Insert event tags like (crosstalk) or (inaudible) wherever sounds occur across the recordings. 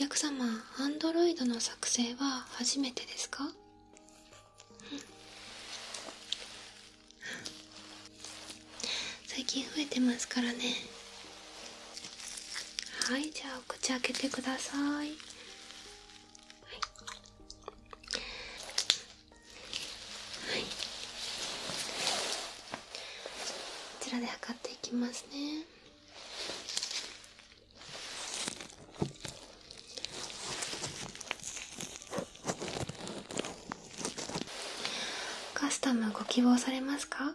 お客様、アンドロイドの作成は初めてですか最近増えてますからねはいじゃあお口開けてください、い、こちらで測っていきますねカスタムご希望されますか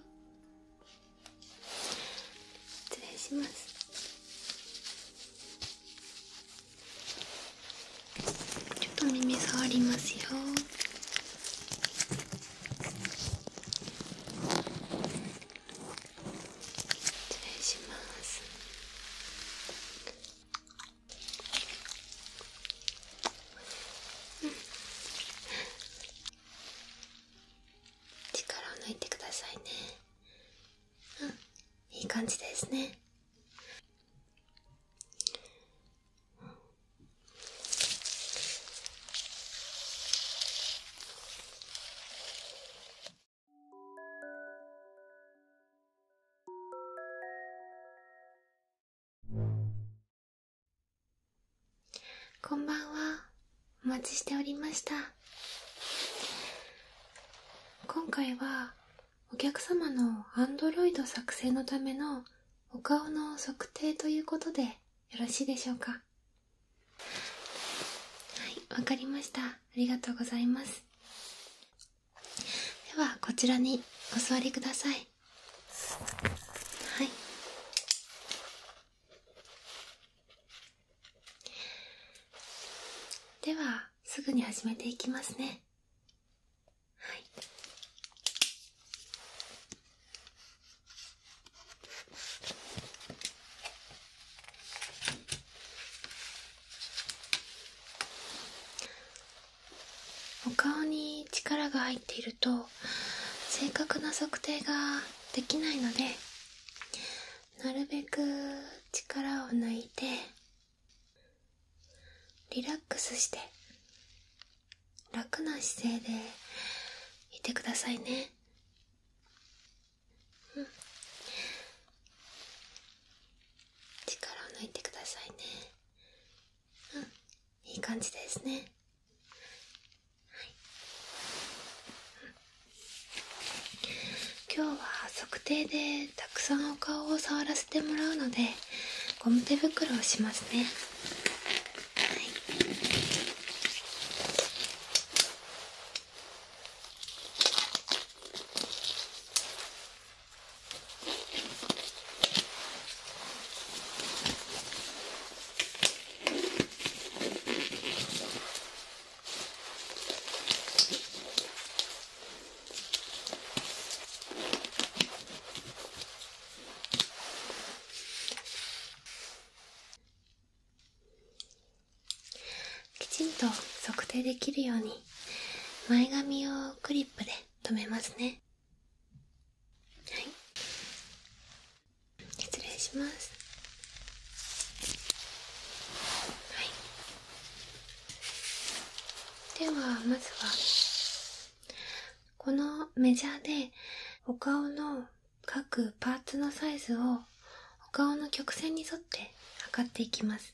失礼しますちょっと耳触りますよ失礼します力を抜いてくださいねうんいい感じですねこんばんは。お待ちしておりました。今回は、お客様の a n d r o i 作成のためのお顔の測定ということでよろしいでしょうかはい、わかりました。ありがとうございます。ではこちらにお座りくださいはいではすぐに始めていきますねはいお顔に力が入っていると正確な測定ができないのでなるべく力を抜いてリラックスして楽な姿勢でいてくださいね力を抜いてくださいねうん、いい感じですね、今日は測定でたくさんお顔を触らせてもらうのでゴム手袋をしますねはいきちんと測定できるように前髪をクリップで止めますね失礼しますではまずはこのメジャーでお顔の各パーツのサイズをお顔の曲線に沿って測っていきます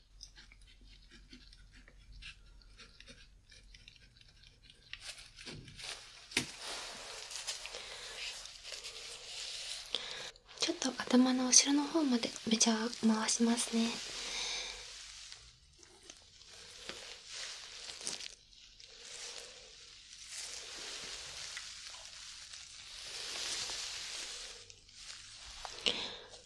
ちょっと頭の後ろの方までめちゃ回しますね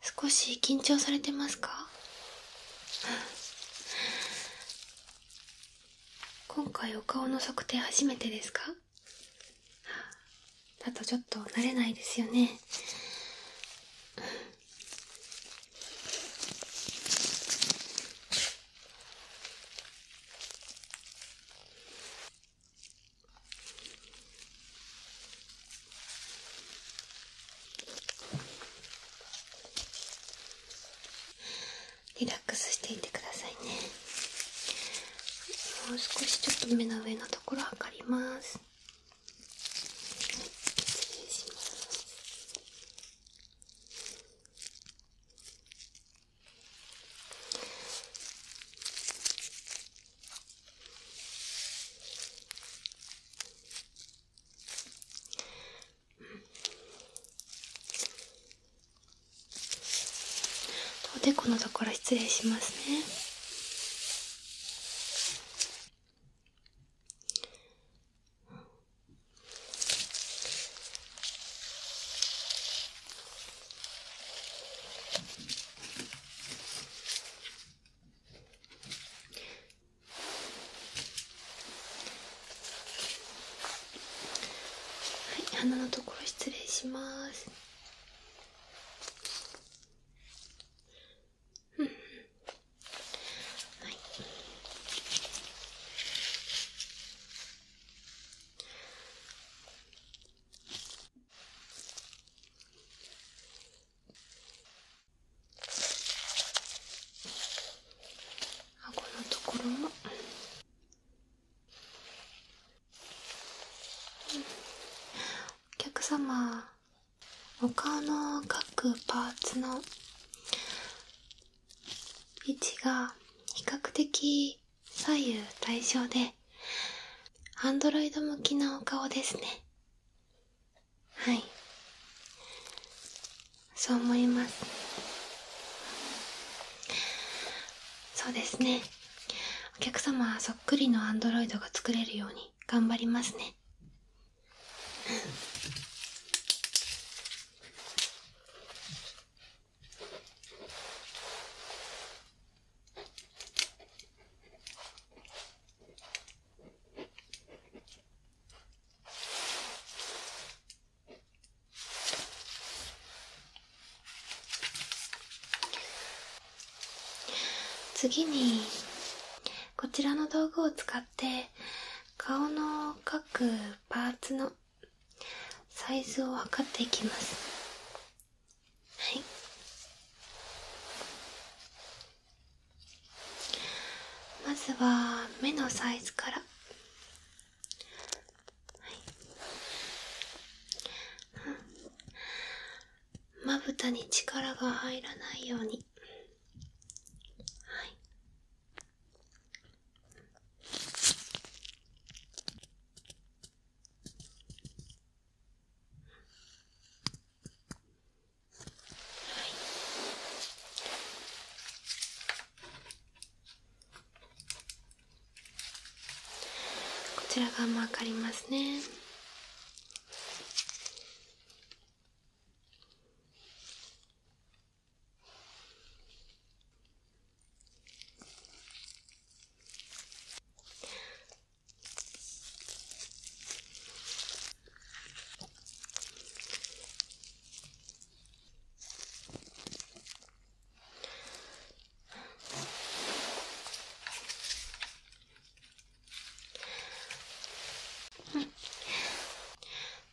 少し緊張されてますか今回お顔の測定初めてですかだとちょっと慣れないですよね (laughs) リラックスしていてくださいねもう少しちょっと目の上のところ測ります失礼しますおでこのところ失礼しますねはい、鼻のところ失礼します。うん、はい。はい顎のところも、お客様お顔の各パーツの位置が比較的左右対称でアンドロイド向きなお顔ですねはいそう思いますそうですねお客様はそっくりのアンドロイドが作れるように頑張りますねうん。次にこちらの道具を使って顔の各パーツのサイズを測っていきますはいまずは目のサイズから、まぶたに力が入らないように、はい、こちら側も分かりますね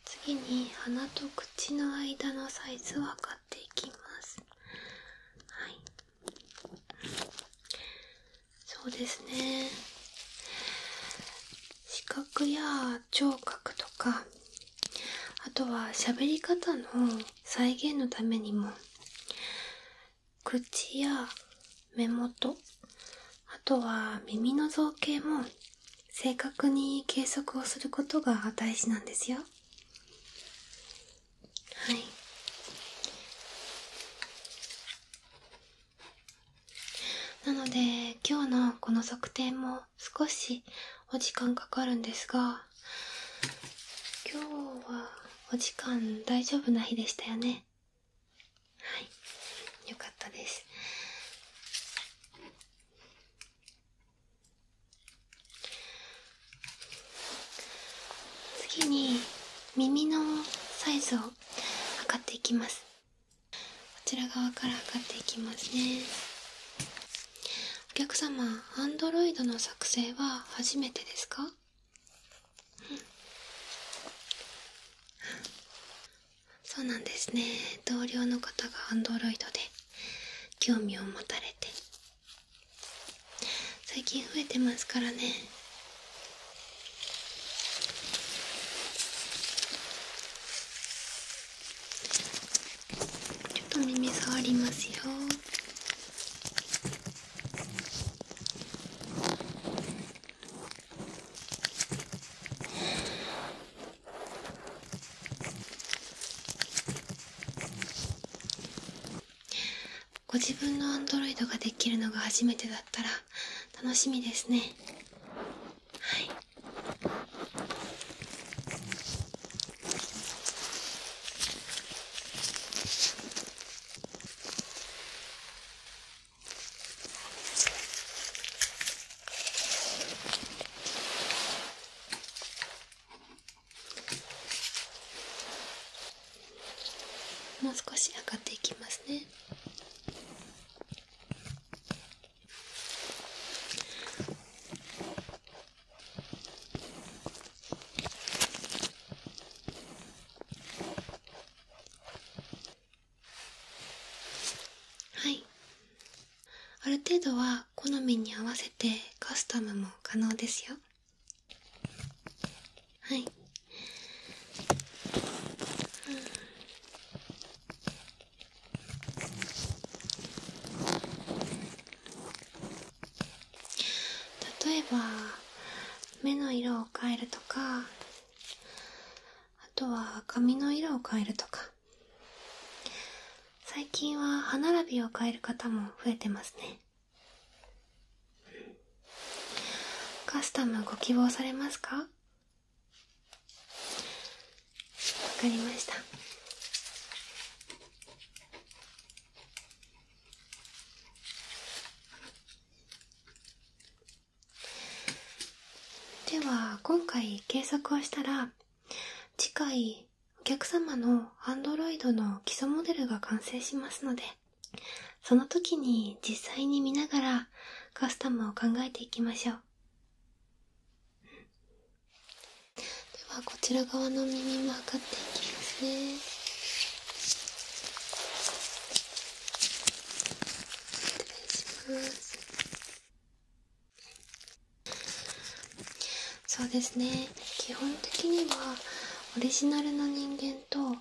次に鼻と口の間のサイズを測っていきますはいそうですね視覚や聴覚とかあとは喋り方の再現のためにも口や目元あとは耳の造形も正確に計測をすることが大事なんですよはいなので今日のこの測定も少しお時間かかるんですが今日はお時間大丈夫な日でしたよねはいよかったです次に耳のサイズを測っていきますこちら側から測っていきますねお客様アンドロイドの作成は初めてですか、うん、そうなんですね同僚の方が Android で興味を持たれて最近増えてますからねちょっと耳触りますよご自分のアンドロイドができるのが初めてだったら楽しみですねはいもう少し上がっていきますねはいある程度は好みに合わせてカスタムも可能ですよはい、うん例えば目の色を変えるとかあとは髪の色を変えるとか最近は歯並びを変える方も増えてますねカスタムご希望されますかかりましたでは今回検索をしたら次回お客様の Android の基礎モデルが完成しますのでその時に実際に見ながらカスタムを考えていきましょうではこちら側の耳も測っていきますねそうですね基本的にはオリジナルの人間と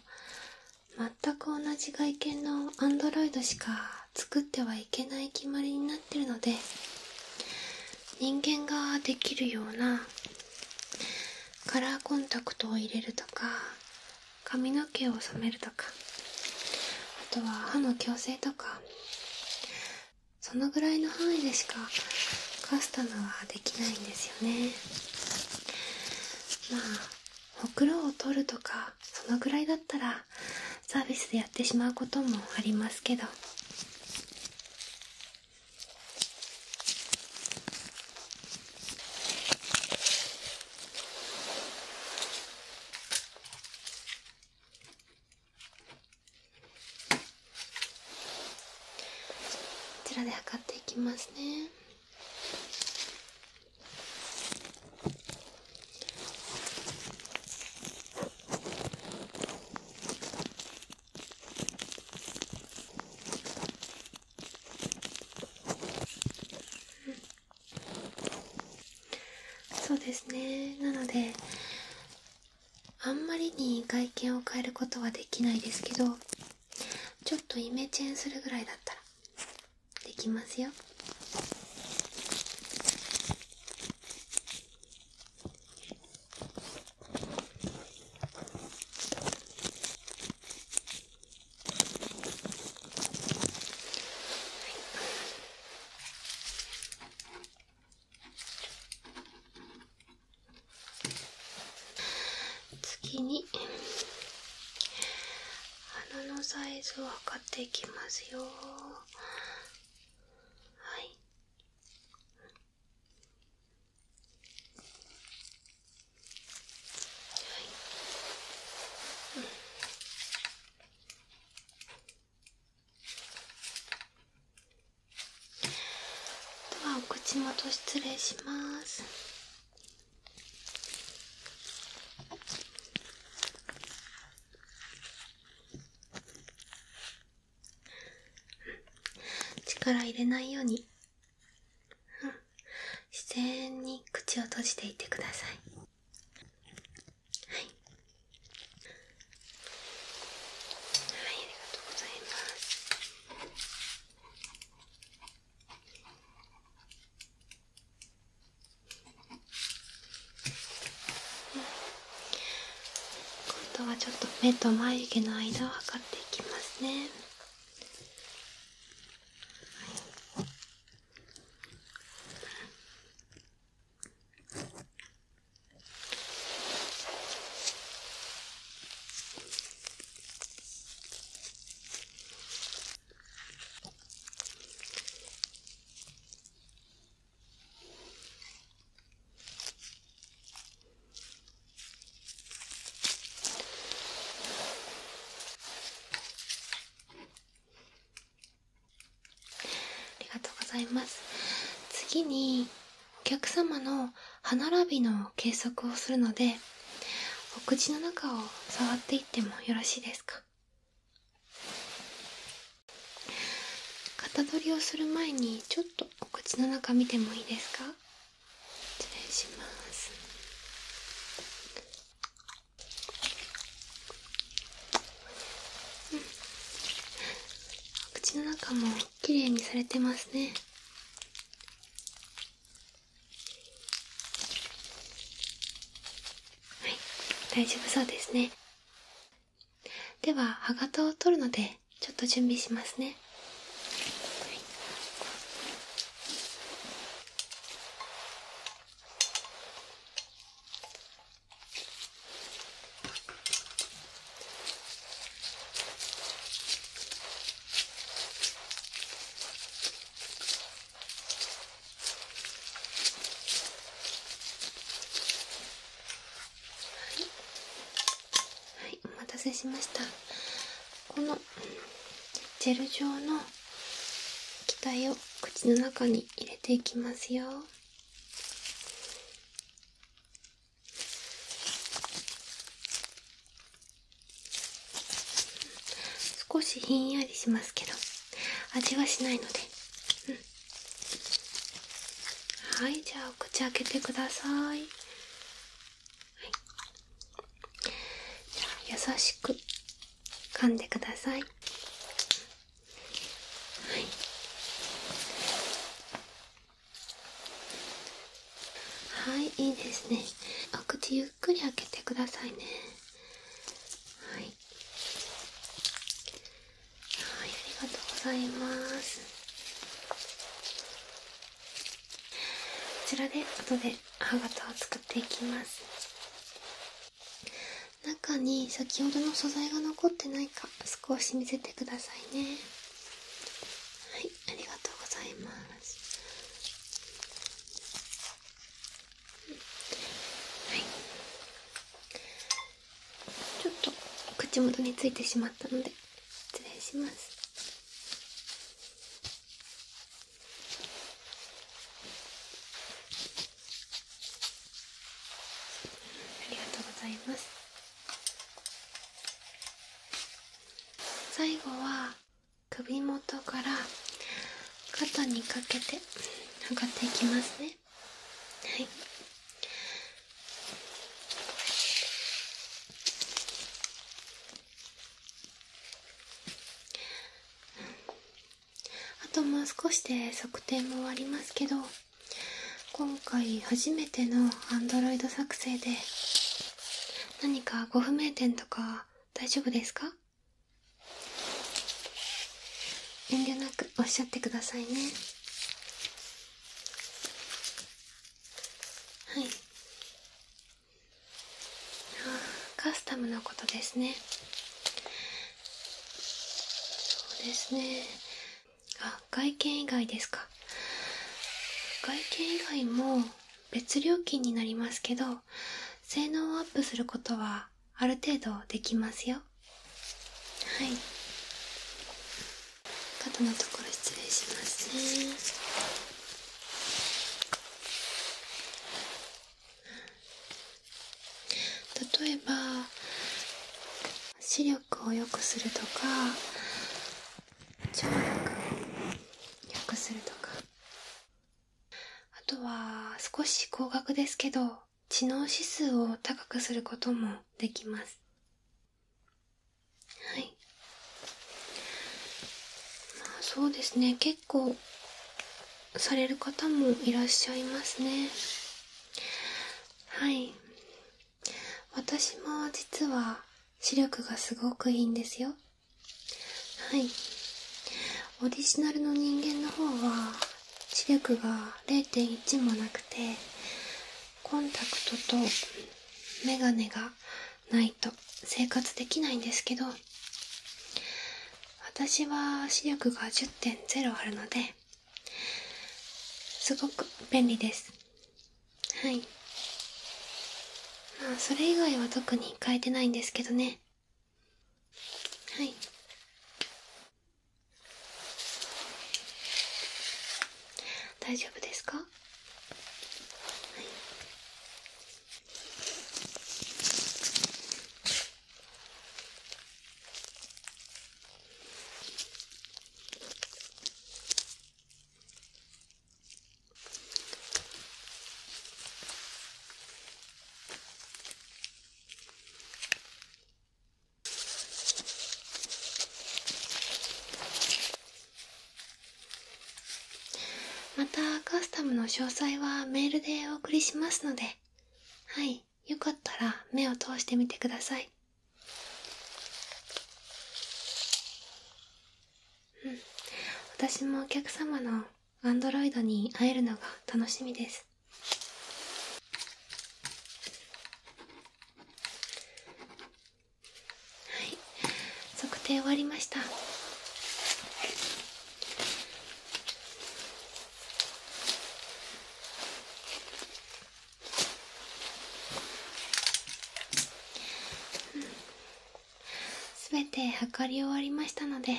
全く同じ外見のアンドロイドしか作ってはいけない決まりになってるので人間ができるようなカラーコンタクトを入れるとか髪の毛を染めるとかあとは歯の矯正とかそのぐらいの範囲でしかカスタムはできないんですよねまあほくろを取るとかそのぐらいだったらサービスでやってしまうこともありますけどこちらで測っていきますねうん。そうですねなのであんまりに外見を変えることはできないですけどちょっとイメチェンするぐらいだったらできますよ次に鼻のサイズを測っていきますよはいではお口元失礼します力入れないように、うん、自然に口を閉じていてくださいはいはいありがとうございます今度はちょっと目と眉毛の間を測っていきますね、はい、ありがとうございます次にお客様の歯並びの計測をするのでお口の中を触っていってもよろしいですか型取りをする前にちょっとお口の中見てもいいですか失礼しますうんお口の中もきれいにされてますねはい大丈夫そうですねでは歯型を取るのでちょっと準備しますね、はい、はい、はい、お待たせしましたこのジェル状の液体を口の中に入れていきますよ少しひんやりしますけど味はしないので、うん、はいじゃあお口開けてください、じゃあ優しく噛んでください、はい、はいいいですねお口ゆっくり開けてくださいねはいはいありがとうございますこちらで後で歯型を作っていきます中に先ほどの素材が残ってないか少し見せてくださいねはいありがとうございますちょっと口元についてしまったので失礼しますありがとうございます最後は首元から肩にかけて上がっていきますねはいあともう少しで測定も終わりますけど今回初めてのアンドロイド作成で何かご不明点とか大丈夫ですか遠慮なくおっしゃってくださいねはいああ、カスタムのことですねそうですねあ外見以外ですか外見以外も別料金になりますけど性能をアップすることはある程度できますよはい角のところ失礼します例えば視力を良くするとか聴力を良くするとかあとは少し高額ですけど知能指数を高くすることもできますそうですね結構される方もいらっしゃいますねはい私も実は視力がすごくいいんですよはいオリジナルの人間の方は視力が0.1もなくてコンタクトとメガネがないと生活できないんですけど私は視力が10.0あるのですごく便利ですはいまあそれ以外は特に変えてないんですけどねはい大丈夫ですかはいまたカスタムの詳細はメールでお送りしますのではいよかったら目を通してみてくださいうん私もお客様のアンドロイドに会えるのが楽しみですはい測定終わりましたすべ、て測り終わりましたので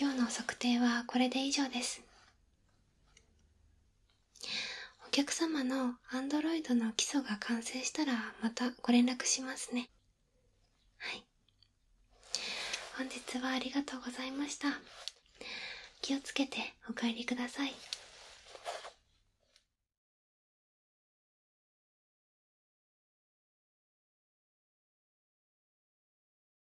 今日の測定はこれで以上ですお客様のアンドロイドの基礎が完成したらまたご連絡しますねはい本日はありがとうございました気をつけてお帰りください